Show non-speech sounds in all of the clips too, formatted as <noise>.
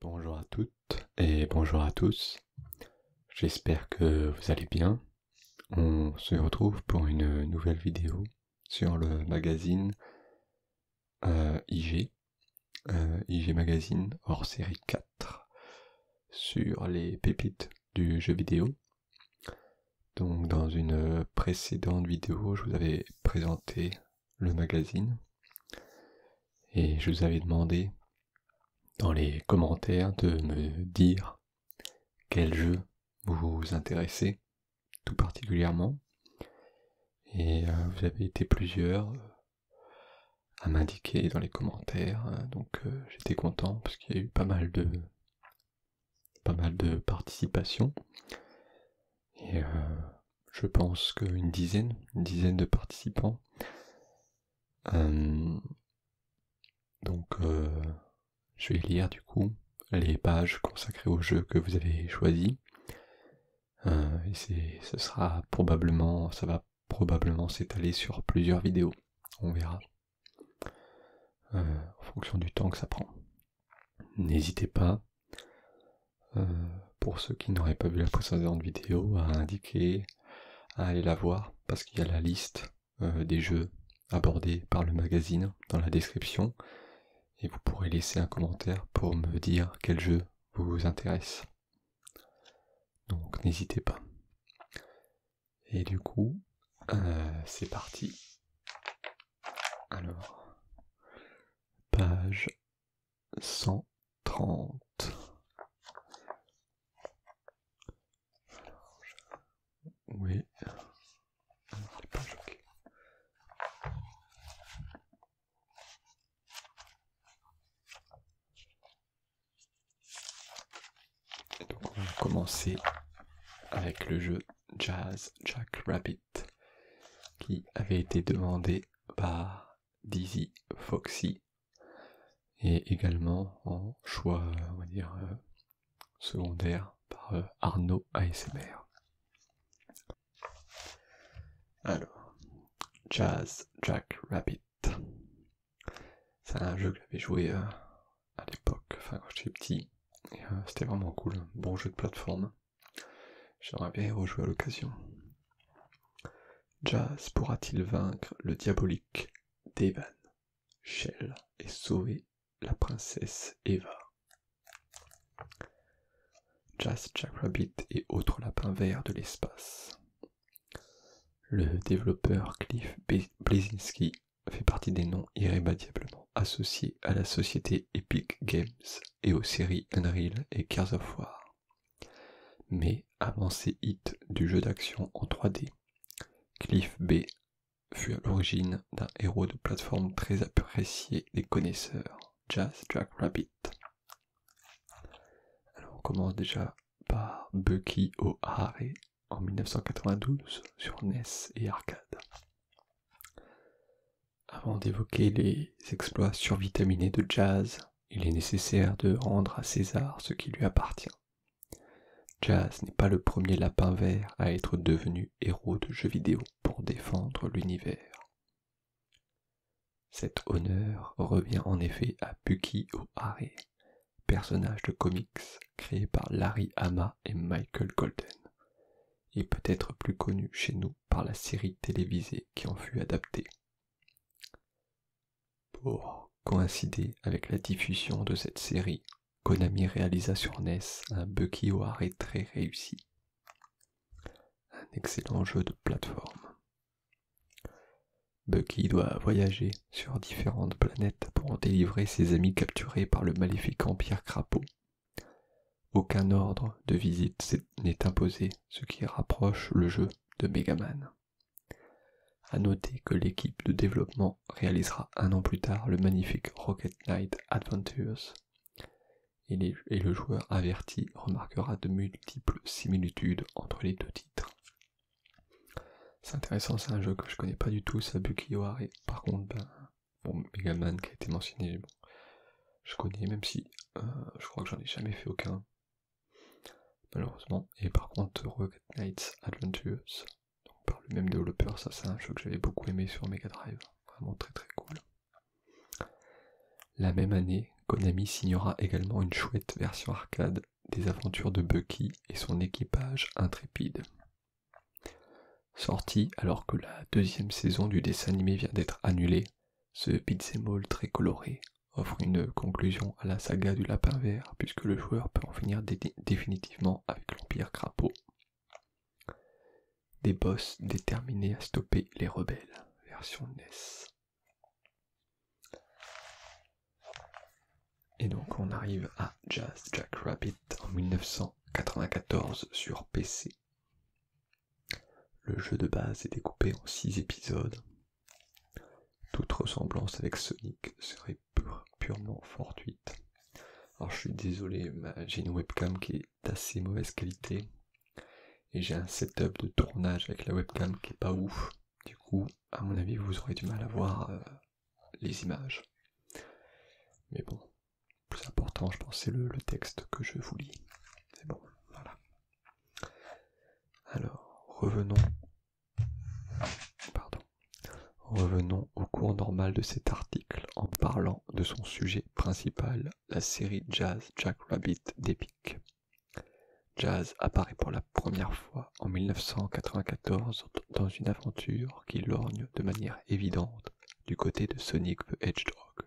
bonjour à toutes et bonjour à tous. J'espère que vous allez bien. On se retrouve pour une nouvelle vidéo sur le magazine euh, IG, euh, IG Magazine hors série 4 sur les pépites du jeu vidéo. Donc dans une précédente vidéo, je vous avais présenté le magazine. Et je vous avais demandé dans les commentaires de me dire quel jeu vous vous intéressez tout particulièrement. Et euh, vous avez été plusieurs euh, à m'indiquer dans les commentaires. Hein. Donc euh, j'étais content parce qu'il y a eu pas mal de pas mal de participation. Et euh, je pense qu'une dizaine, une dizaine de participants. Euh, donc euh, je vais lire du coup les pages consacrées au jeu que vous avez choisi. et c'est, ce sera probablement, ça va probablement s'étaler sur plusieurs vidéos. On verra. en fonction du temps que ça prend. N'hésitez pas euh, pour ceux qui n'auraient pas vu la précédente vidéo, à indiquer à aller la voir parce qu'il y a la liste euh, des jeux abordés par le magazine dans la description et vous pourrez laisser un commentaire pour me dire quel jeu vous intéresse. Donc n'hésitez pas. Et du coup, euh, c'est parti. Alors, page cent trente. Oui. Pas donc on va commencer avec le jeu Jazz Jack Rabbit qui avait été demandé par Dizzy Foxy et également en choix, on va dire, euh, secondaire par euh, Arnaud ASMR. Alors, Jazz Jack Rabbit. C'est un jeu que j'avais joué euh, à l'époque, enfin quand j'étais petit. C'était vraiment cool, bon jeu de plateforme. J'aimerais bien à l'occasion. Jazz pourra-t-il vaincre le diabolique Devan, Shell et sauver la princesse Eva Jazz Jackrabbit et autres lapins verts de l'espace. Le développeur Cliff Blazinski fait partie des noms irrémédiablement associés à la société Epic Games et aux séries Unreal et Cars of War. Mais avant hit hits du jeu d'action en 3D, Cliff B fut à l'origine d'un héros de plateforme très apprécié des connaisseurs, Jazz Jack Alors on commence déjà par Bucky O'Hare en 1992 sur NES et arcade. Avant d'évoquer les exploits survitaminés de Jazz, il est nécessaire de rendre à César ce qui lui appartient. Jazz n'est pas le premier lapin vert à être devenu héros de jeux vidéo pour défendre l'univers. Cet honneur revient en effet à Bucky O'Hare, personnage de comics créé par Larry Hama et Michael Golden, et peut-être plus connu chez nous par la série télévisée qui en fut adaptée. Pour coïncider avec la diffusion de cette série, Konami réalisa sur NES un Bucky et très réussi, un excellent jeu de plateforme. Bucky doit voyager sur différentes planètes pour en délivrer ses amis capturés par le maléfique Pierre Crapaud. Aucun ordre de visite n'est imposé, ce qui rapproche le jeu de Megaman. A noter que l'équipe de développement réalisera un an plus tard le magnifique Rocket Knight Adventures, et, le joueur averti remarquera de multiples similitudes entre les deux titres. C'est intéressant, c'est un jeu que je connais pas du tout, Sabuki Par contre, ben, Megaman qui a été mentionné, je connais, même si euh, je crois que j'en ai jamais fait aucun, malheureusement. Et par contre, Rocket Knights Adventures, par le même développeur, ça c'est un jeu que j'avais beaucoup aimé sur Mega Drive, vraiment très très cool. La même année, Konami signera également une chouette version arcade des aventures de Bucky et son équipage intrépide. Sorti alors que la deuxième saison du dessin animé vient d'être annulée, ce mall très coloré offre une conclusion à la saga du lapin vert puisque le joueur peut en finir définitivement avec l'Empire Crapaud. Des boss déterminés à stopper les rebelles, version NES. Et donc on arrive à Jazz Jack Rabbit en 1994 sur PC. Le jeu de base est découpé en 6 épisodes. Toute ressemblance avec Sonic serait purement fortuite. Alors je suis désolé, j'ai une webcam qui est d'assez mauvaise qualité. Et j'ai un setup de tournage avec la webcam qui est pas ouf. Du coup, à mon avis, vous aurez du mal à voir euh, les images. Mais bon, plus important, je pense, c'est le texte que je vous lis. C'est bon, voilà. Alors, revenons. Pardon. Revenons au cours normal de cet article en parlant de son sujet principal, la série Jazz Jackrabbit d'Epic. Jazz apparaît pour la première fois en 1994 dans une aventure qui lorgne de manière évidente du côté de Sonic the Hedgehog,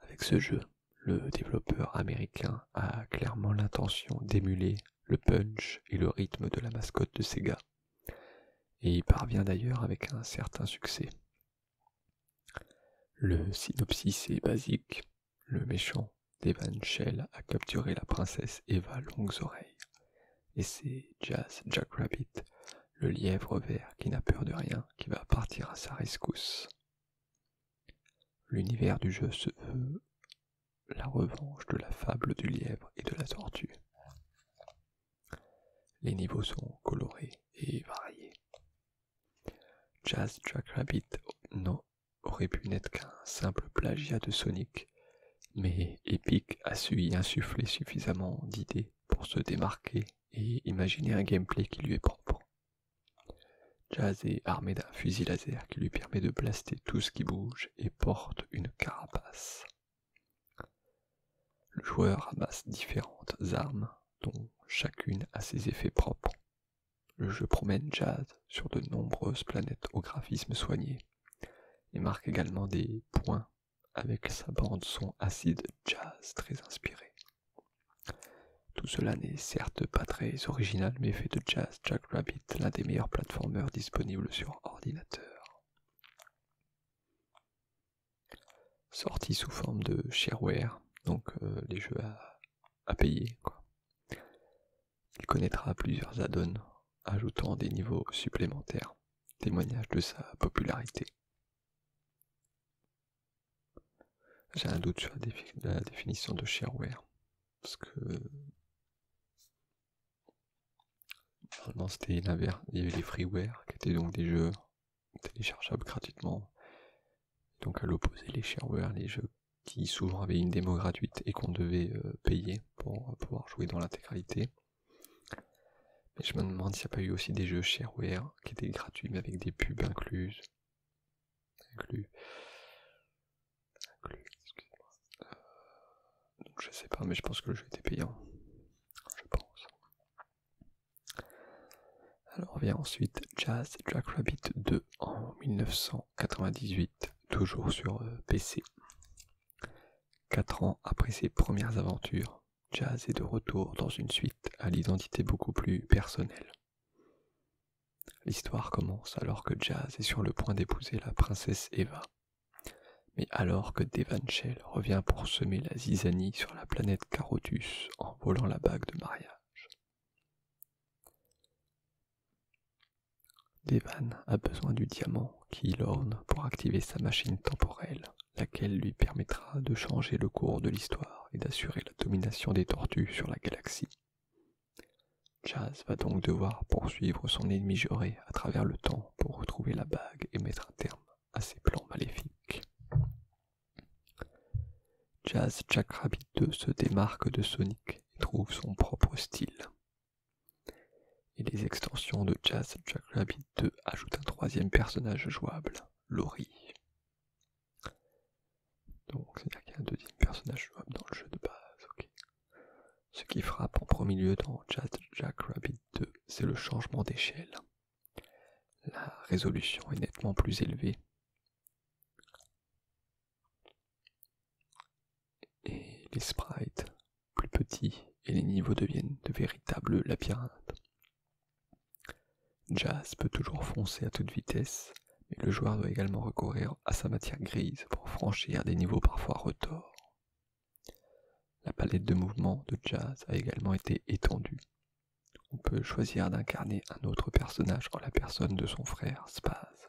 avec ce jeu, le développeur américain a clairement l'intention d'émuler le punch et le rythme de la mascotte de Sega, et il parvient d'ailleurs avec un certain succès. Le synopsis est basique, le méchant Devan Shell a capturé la princesse Eva Longues Oreilles, et c'est Jazz Jackrabbit, le lièvre vert qui n'a peur de rien, qui va partir à sa rescousse. L'univers du jeu se veut la revanche de la fable du lièvre et de la tortue. Les niveaux sont colorés et variés. Jazz Jackrabbit non, aurait pu n'être qu'un simple plagiat de Sonic, mais Epic a su y insuffler suffisamment d'idées pour se démarquer et imaginez un gameplay qui lui est propre. Jazz est armé d'un fusil laser qui lui permet de blaster tout ce qui bouge et porte une carapace. Le joueur amasse différentes armes, dont chacune a ses effets propres. Le jeu promène Jazz sur de nombreuses planètes au graphisme soigné et marque également des points avec sa bande son acide jazz très inspiré. Tout cela n'est certes pas très original, mais fait de Jazz jack rabbit l'un des meilleurs plateformeurs disponibles sur ordinateur. Sorti sous forme de shareware, donc euh, les jeux à, payer. Il connaîtra plusieurs add-ons, ajoutant des niveaux supplémentaires, témoignage de sa popularité. J'ai un doute sur la, définition de shareware. Parce que. Normalement, c'était l'inverse. Il y avait les freeware, qui étaient donc des jeux téléchargeables gratuitement. Donc, à l'opposé, les shareware, les jeux qui souvent avaient une démo gratuite et qu'on devait euh, payer pour euh, pouvoir jouer dans l'intégralité je me demande s'il n'y a pas eu aussi des jeux shareware qui étaient gratuits mais avec des pubs incluses. Inclus. Inclus, moi euh, donc je sais pas, mais je pense que le jeu était payant. Je pense. Alors vient ensuite Jazz Jackrabbit 2 en 1998, toujours sur euh, PC. 4 ans après ses premières aventures, Jazz est de retour dans une suite à l'identité beaucoup plus personnelle. L'histoire commence alors que Jazz est sur le point d'épouser la princesse Eva. Mais alors que Devanchel revient pour semer la zizanie sur la planète Carotus en volant la bague de mariage. Devan a besoin du diamant qui l'orne pour activer sa machine temporelle laquelle lui permettra de changer le cours de l'histoire et d'assurer la domination des tortues sur la galaxie. Jazz va donc devoir poursuivre son ennemi juré à travers le temps pour retrouver la bague et mettre un terme à ses plans maléfiques. Jazz Jack 2 se démarque de Sonic et trouve son propre style. Et les extensions de Jazz Jack 2 ajoutent un troisième personnage jouable, Laurie. Donc, cest la' personnages dans le jeu de base, ok. Ce qui frappe en premier lieu dans Jack Rabbit 2, c'est le changement d'échelle. La résolution est nettement plus élevée. Et les sprites plus petits et les niveaux deviennent de véritables labyrinthes. Jazz peut toujours foncer à toute vitesse, mais le joueur doit également recourir à sa matière grise pour franchir des niveaux parfois retors. La palette de mouvement de Jazz a également été étendue. On peut choisir d'incarner un autre personnage en la personne de son frère Spaz,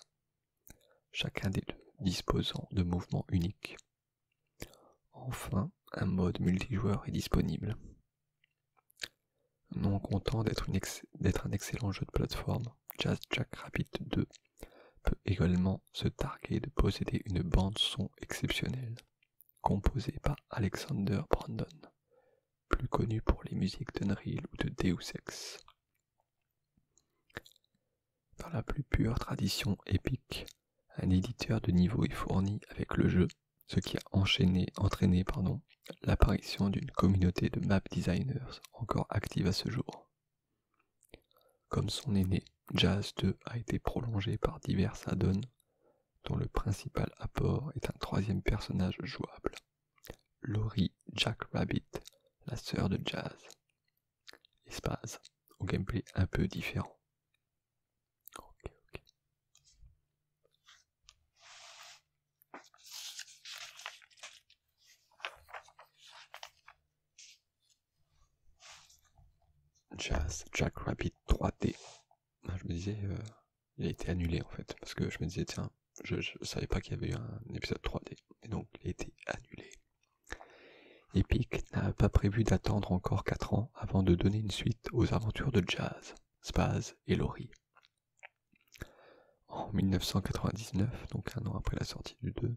chacun des deux disposant de mouvements uniques. Enfin, un mode multijoueur est disponible. Non content d'être un excellent jeu de plateforme, Jazz Jack Rabbit 2 peut également se targuer de posséder une bande son exceptionnelle, composée par Alexander Brandon, plus connu pour les musiques d'Unreal ou de Deus Ex. Dans la plus pure tradition épique, un éditeur de niveau est fourni avec le jeu ce qui a enchaîné, entraîné l'apparition d'une communauté de map designers encore active à ce jour. Comme son aîné, Jazz 2 a été prolongé par divers add-ons, dont le principal apport est un troisième personnage jouable, Laurie Jackrabbit, la sœur de Jazz. Espace, au gameplay un peu différent. Ok, ok. Jazz Jack Rabbit 3D. Je me disais, euh, il a été annulé en fait, parce que je me disais, tiens, je, ne savais pas qu'il y avait eu un épisode 3D, et donc il a été annulé. Epic n'a pas prévu d'attendre encore 4 ans avant de donner une suite aux aventures de Jazz. Spaz et Lori. En 1999, donc un an après la sortie du 2,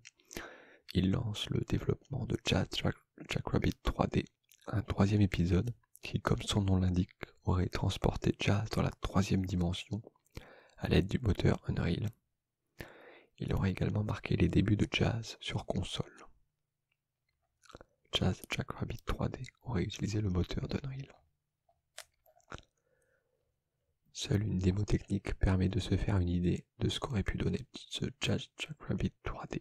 il lance le développement de Jazz Jackrabbit 3D, un troisième épisode qui, comme son nom l'indique, aurait transporté Jazz dans la troisième dimension à l'aide du moteur Unreal. Il aurait également marqué les débuts de Jazz sur console. Jazz Jackrabbit 3D aurait utilisé le moteur d'Unreal. Seule une démo technique permet de se faire une idée de ce qu'aurait pu donner ce Jazz Jackrabbit 3D.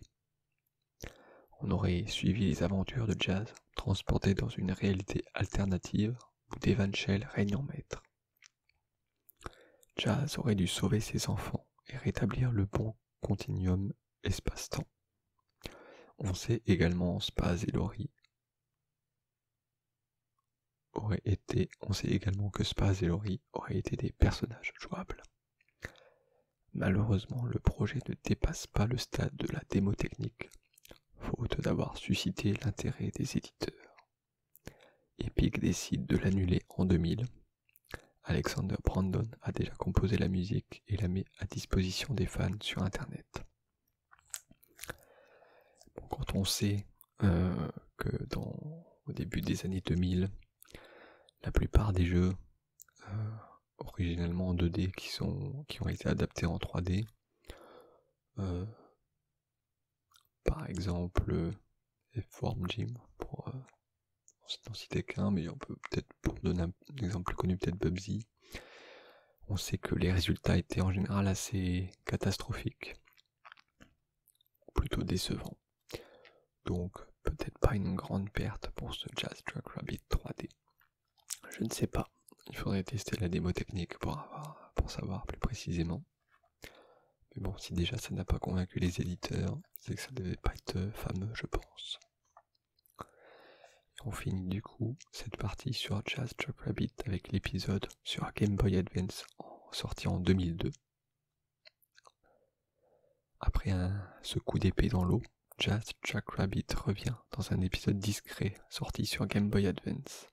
On aurait suivi les aventures de Jazz, transporté dans une réalité alternative où Shell règne en maître. Jazz aurait dû sauver ses enfants et rétablir le bon continuum espace-temps. On sait également et été, on sait également que Spaz et Laurie auraient été des personnages jouables. Malheureusement, le projet ne dépasse pas le stade de la démo technique, faute d'avoir suscité l'intérêt des éditeurs. Epic décide de l'annuler en 2000. Alexander Brandon a déjà composé la musique et la met à disposition des fans sur Internet. quand on sait euh, que dans, au début des années 2000, la plupart des jeux euh, originellement en 2D qui, sont, qui ont été adaptés en 3D, euh, par exemple Form Gym, pour citer qu'un, mais on peut peut-être pour donner un exemple plus connu, peut-être Bubsy, on sait que les résultats étaient en général assez catastrophiques, ou plutôt décevants. Donc peut-être pas une grande perte pour ce Jazz Truck Rabbit 3D. Je ne sais pas. Il faudrait tester la démo technique pour, pour savoir plus précisément. Mais bon, si déjà ça n'a pas convaincu les éditeurs, c'est que ça ne devait pas être fameux, je pense. On finit du coup cette partie sur Jazz Chuck Rabbit avec l'épisode sur Game Boy Advance sorti en 2002. Après un, ce coup d'épée dans l'eau, Jazz Jack Rabbit revient dans un épisode discret sorti sur Game Boy Advance.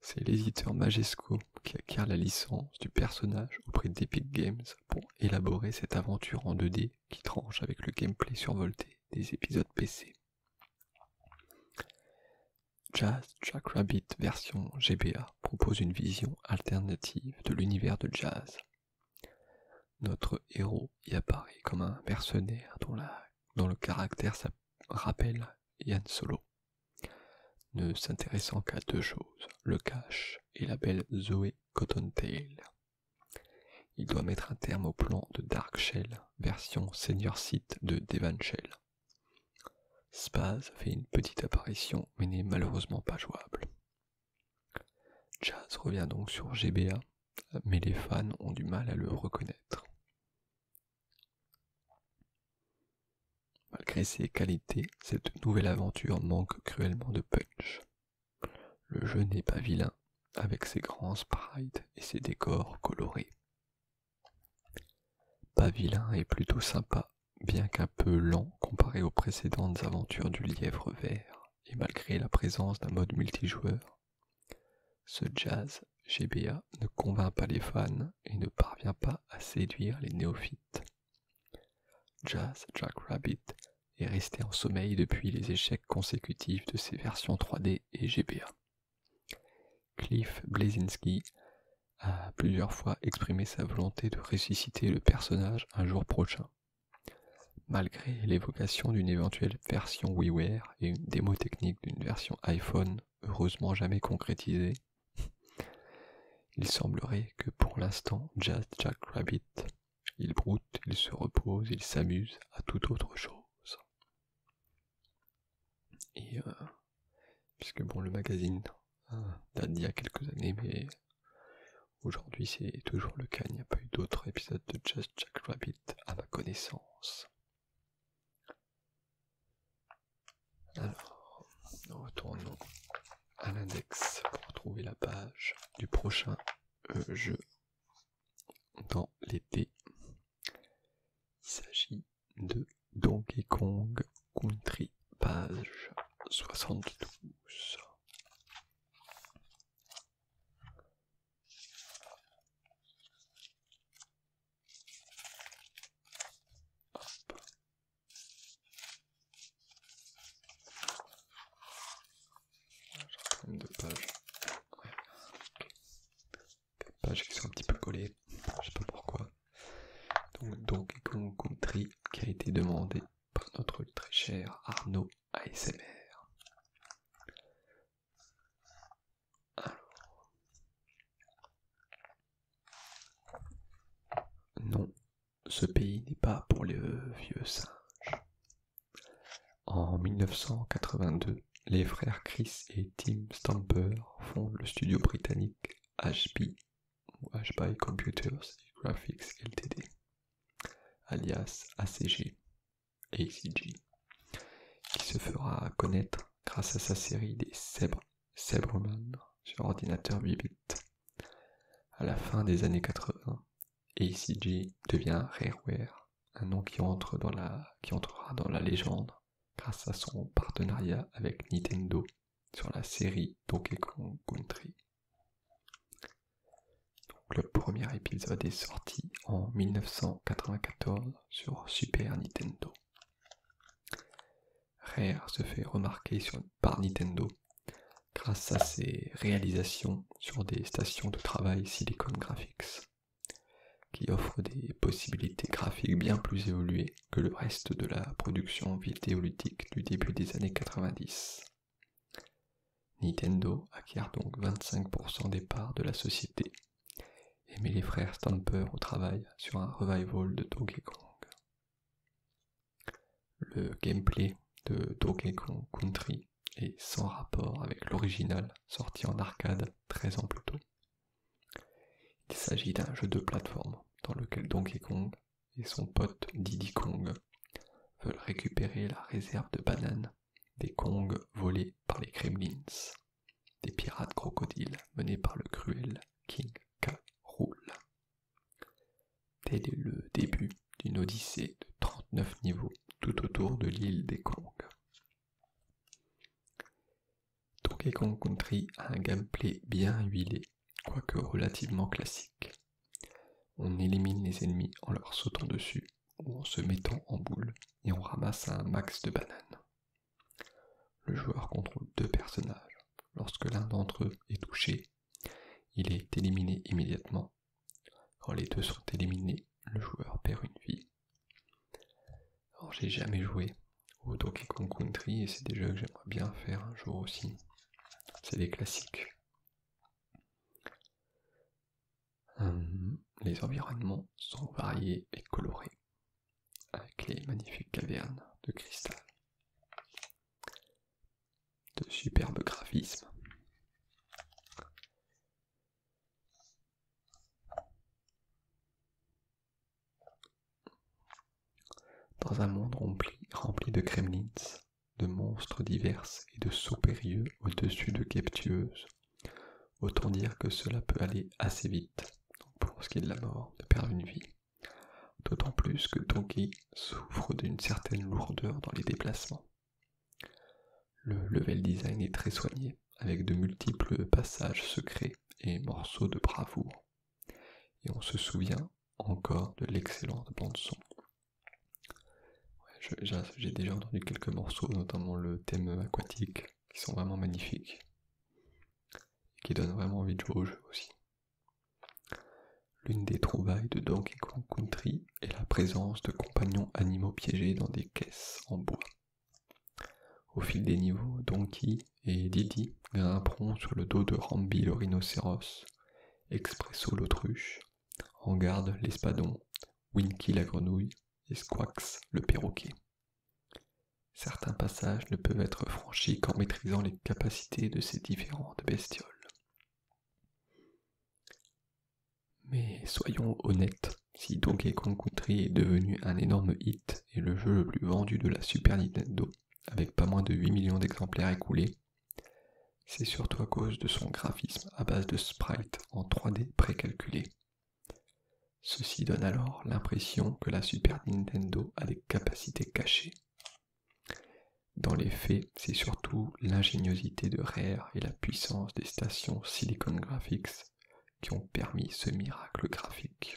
C'est l'éditeur Majesco qui acquiert la licence du personnage auprès d'Epic Games pour élaborer cette aventure en 2D qui tranche avec le gameplay survolté des épisodes PC. Jazz Jackrabbit version GBA propose une vision alternative de l'univers de Jazz. Notre héros y apparaît comme un mercenaire dont, le caractère rappelle Yann Solo, ne s'intéressant qu'à deux choses, le cash et la belle Zoé Cottontail. Il doit mettre un terme au plan de Dark Shell, version senior site de Shell. Spaz fait une petite apparition mais n'est malheureusement pas jouable. Jazz revient donc sur GBA, mais les fans ont du mal à le reconnaître. Malgré ses qualités, cette nouvelle aventure manque cruellement de punch. Le jeu n'est pas vilain, avec ses grands sprites et ses décors colorés. Pas est plutôt sympa, bien qu'un peu lent comparé aux précédentes aventures du lièvre vert, et malgré la présence d'un mode multijoueur. Ce jazz GBA ne convainc pas les fans et ne parvient pas à séduire les néophytes. Jazz Jackrabbit est resté en sommeil depuis les échecs consécutifs de ses versions 3D et GBA. Cliff Blazinski a plusieurs fois exprimé sa volonté de ressusciter le personnage un jour prochain. Malgré l'évocation d'une éventuelle version WiiWare et une démo technique d'une version iPhone heureusement jamais concrétisée, <laughs> il semblerait que pour l'instant Just Jack Rabbit il broute, il se repose, il s'amuse à tout autre chose. Et euh, puisque bon, le magazine hein, date d'il y a quelques années, mais aujourd'hui c'est toujours le cas. Il n'y a pas eu d'autres épisodes de Just Jack Rabbit à ma connaissance. Alors, nous retournons à l'index pour trouver la page du prochain euh, jeu dans l'été. Il s'agit de Donkey Kong Country, page 72 de pages. pages qui sont un petit peu collées, je sais pas pourquoi. Donc, Donkey Country qui a été demandé par notre très cher Arnaud ASMR. Non, ce pays n'est pas pour les vieux singes. En 1982, les frères Chris et Tim Stamper fondent le studio britannique HB ou Computers Graphics Ltd, alias ACG, ACG, qui se fera connaître grâce à sa série des Zebra, sur ordinateur 8 bits. À la fin des années 80, ACG devient Rareware un nom qui, entrera dans la légende grâce à son partenariat avec Nintendo sur la série Donkey Kong Country. le premier épisode est sorti en 1994 sur Super Nintendo. Rare se fait remarquer par Nintendo grâce à ses réalisations sur des stations de travail Silicon Graphics qui offre des possibilités graphiques bien plus évoluées que le reste de la production vidéoludique du début des années 90. Nintendo acquiert donc 25% des parts de la société et met les frères Stamper au travail sur un revival de Donkey Kong. Le gameplay de Donkey Kong Country et sans rapport avec l'original sorti en arcade 13 ans plus tôt. Il s'agit d'un jeu de plateforme dans lequel Donkey Kong et son pote Diddy Kong veulent récupérer la réserve de bananes des Kong volés par les Kremlins, des pirates crocodiles menés par le cruel King K. Rool. Tel est le début d'une odyssée de 39 niveaux tout autour de l'île des Kongs. Donkey Kong Country a un gameplay bien huilé, quoique relativement classique. On élimine les ennemis en leur sautant dessus ou en se mettant en boule et on ramasse un max de bananes. Le joueur contrôle deux personnages. Lorsque l'un d'entre eux est touché, il est éliminé immédiatement quand les deux sont éliminés, le joueur perd une vie. Alors j'ai jamais joué au Donkey Kong Country et c'est des jeux que j'aimerais bien faire un jour aussi. C'est des classiques. Hum, les environnements sont variés et colorés, avec les magnifiques cavernes de cristal, de superbes graphismes, dans un monde rempli, de kremlins, de monstres divers et de soupérieux au-dessus de captueuses, autant dire que cela peut aller assez vite pour ce qui est de la mort, de perdre une vie. D'autant plus que Tonki souffre d'une certaine lourdeur dans les déplacements. Le level design est très soigné, avec de multiples passages secrets et morceaux de bravoure. Et on se souvient encore de l'excellente bande-son. J'ai déjà entendu quelques morceaux, notamment le thème aquatique, qui sont vraiment magnifiques. Et qui donnent vraiment envie de jouer au jeu aussi. L'une des trouvailles de Donkey Kong Country et la présence de compagnons animaux piégés dans des caisses en bois. Au fil des niveaux, Donkey et Didi grimperont sur le dos de Rambi le rhinocéros, Expresso l'autruche, en garde l'espadon, Winky la grenouille et Squax le perroquet. Certains passages ne peuvent être franchis qu'en maîtrisant les capacités de ces différentes bestioles. Mais soyons honnêtes, si Donkey Kong Country est devenu un énorme hit et le jeu le plus vendu de la Super Nintendo, avec pas moins de 8 millions d'exemplaires écoulés, c'est surtout à cause de son graphisme à base de sprites en 3D précalculés. Ceci donne alors l'impression que la Super Nintendo a des capacités cachées. Dans les faits, c'est surtout l'ingéniosité de Rare et la puissance des stations Silicon Graphics qui ont permis ce miracle graphique.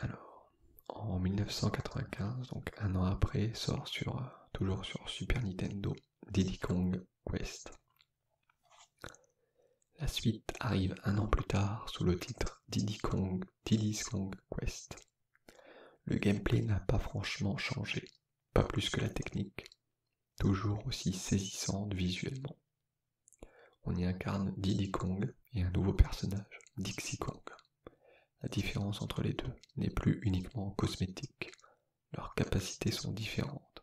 Alors, en 1995, donc un an après, sort euh, toujours sur Super Nintendo, Diddy Kong Quest. La suite arrive un an plus tard sous le titre Diddy Kong, Diddy Kong Quest. Le gameplay n'a pas franchement changé, pas plus que la technique, toujours aussi saisissante visuellement. On y incarne Diddy Kong et un nouveau personnage, Dixie Kong. La différence entre les deux n'est plus uniquement cosmétique, leurs capacités sont différentes.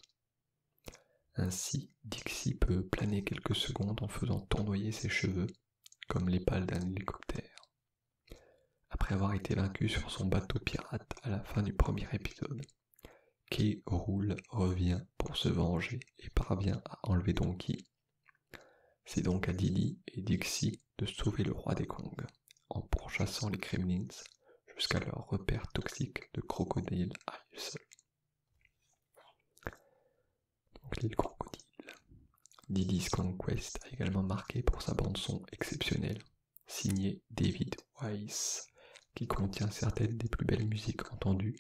Ainsi, Dixie peut planer quelques secondes en faisant tournoyer ses cheveux, comme les pales d'un hélicoptère, après avoir été vaincu sur son bateau pirate à la fin du premier épisode, Key Rool revient pour se venger et parvient à enlever Donkey. C'est donc à Dilly et Dixie de sauver le roi des Kongs en pourchassant les Kremlins jusqu'à leur repère toxique de Crocodile à Donc l'île Crocodile. Conquest a également marqué pour sa bande-son exceptionnelle signé David Weiss, qui contient certaines des plus belles musiques entendues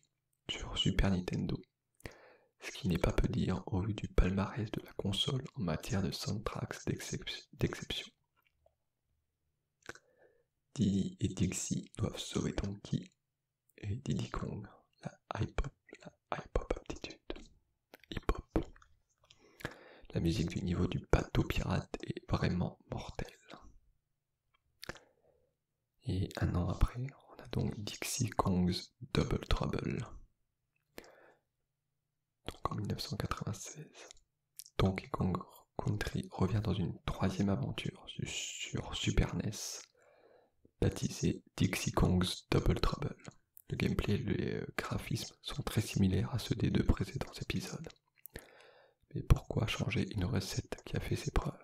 sur Super Nintendo, ce qui n'est pas peu dire au vu du palmarès de la console en matière de soundtracks d'exception. Didi et Dixie doivent sauver Donkey et Diddy Kong, la high la aptitude. La musique du niveau du bateau pirate est vraiment mortelle. Et un an après, on a donc Dixie Kong's Double Trouble. Donc en 1996, Donkey Kong Country revient dans une troisième aventure sur Super NES, baptisée Dixie Kong's Double Trouble. Le gameplay et les euh, graphismes sont très similaires à ceux des deux précédents épisodes. Mais pourquoi changer une recette qui a fait ses preuves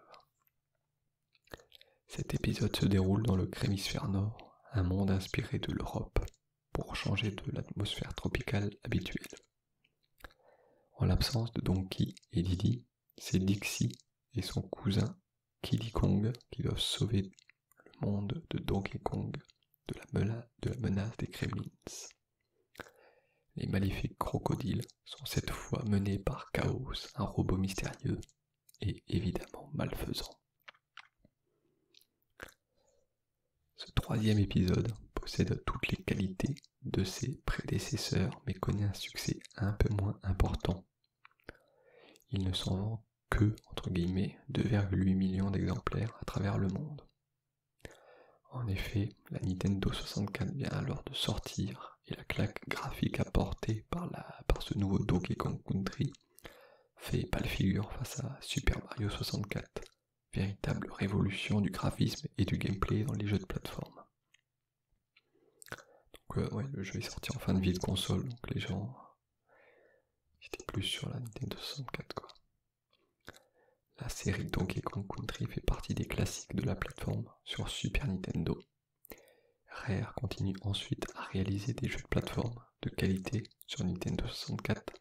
Cet épisode se déroule dans le Crémisphère Nord, un monde inspiré de l'Europe, pour changer de l'atmosphère tropicale habituelle. En l'absence de Donkey et Didi, c'est Dixie et son cousin Kiddy Kong qui doivent sauver le monde de Donkey Kong de la, menace des Kremlins. Les maléfiques crocodiles sont cette fois menés par Chaos, un robot mystérieux et évidemment malfaisant. Ce troisième épisode possède toutes les qualités de ses prédécesseurs mais connaît un succès un peu moins important. Il ne s'en vend que, entre 2,8 millions d'exemplaires à travers le monde. En effet, la Nintendo 64 vient alors de sortir et la claque graphique apportée par, ce nouveau Donkey Kong Country fait pâle figure face à Super Mario 64, véritable révolution du graphisme et du gameplay dans les jeux de plateforme. Donc euh, ouais, le jeu est sorti en fin de vie de console, donc les gens euh, étaient plus sur la Nintendo 64 la série Donkey Kong Country fait partie des classiques de la plateforme sur Super Nintendo. Rare continue ensuite à réaliser des jeux de plateforme de qualité sur Nintendo 64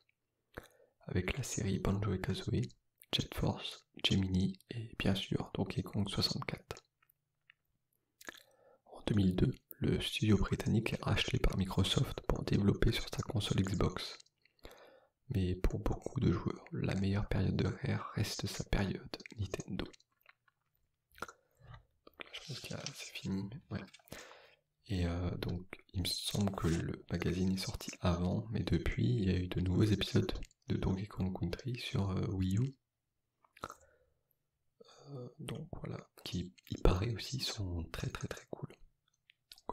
avec la série Banjo et Kazooie, Jet Force, Gemini et bien sûr Donkey Kong 64. En 2002, le studio britannique est racheté par Microsoft pour développer sur sa console Xbox. Mais pour beaucoup de joueurs, la meilleure période de Rare reste sa période Nintendo. fini. Et euh, donc, il me semble que le magazine est sorti avant, mais depuis, il y a eu de nouveaux épisodes de Donkey Kong Country sur euh, Wii U. Euh, donc voilà, qui il paraît aussi sont très très très cool.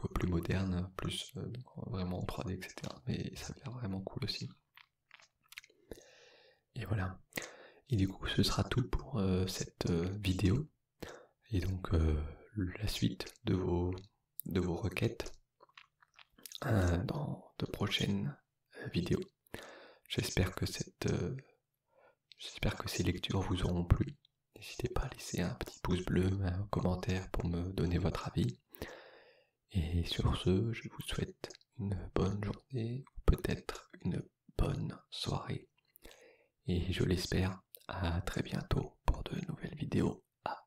Euh, plus moderne, plus euh, vraiment en 3D, etc. Mais ça a l'air vraiment cool aussi. Et voilà. Et du coup, ce sera tout pour euh, cette vidéo. Et donc, la suite de vos, requêtes dans de prochaines vidéos. J'espère que ces lectures vous auront plu N'hésitez pas à laisser un petit pouce bleu, un commentaire pour me donner votre avis. Et sur ce, je vous souhaite une bonne journée ou peut-être une bonne soirée. Et je l'espère, à très bientôt pour de nouvelles vidéos bye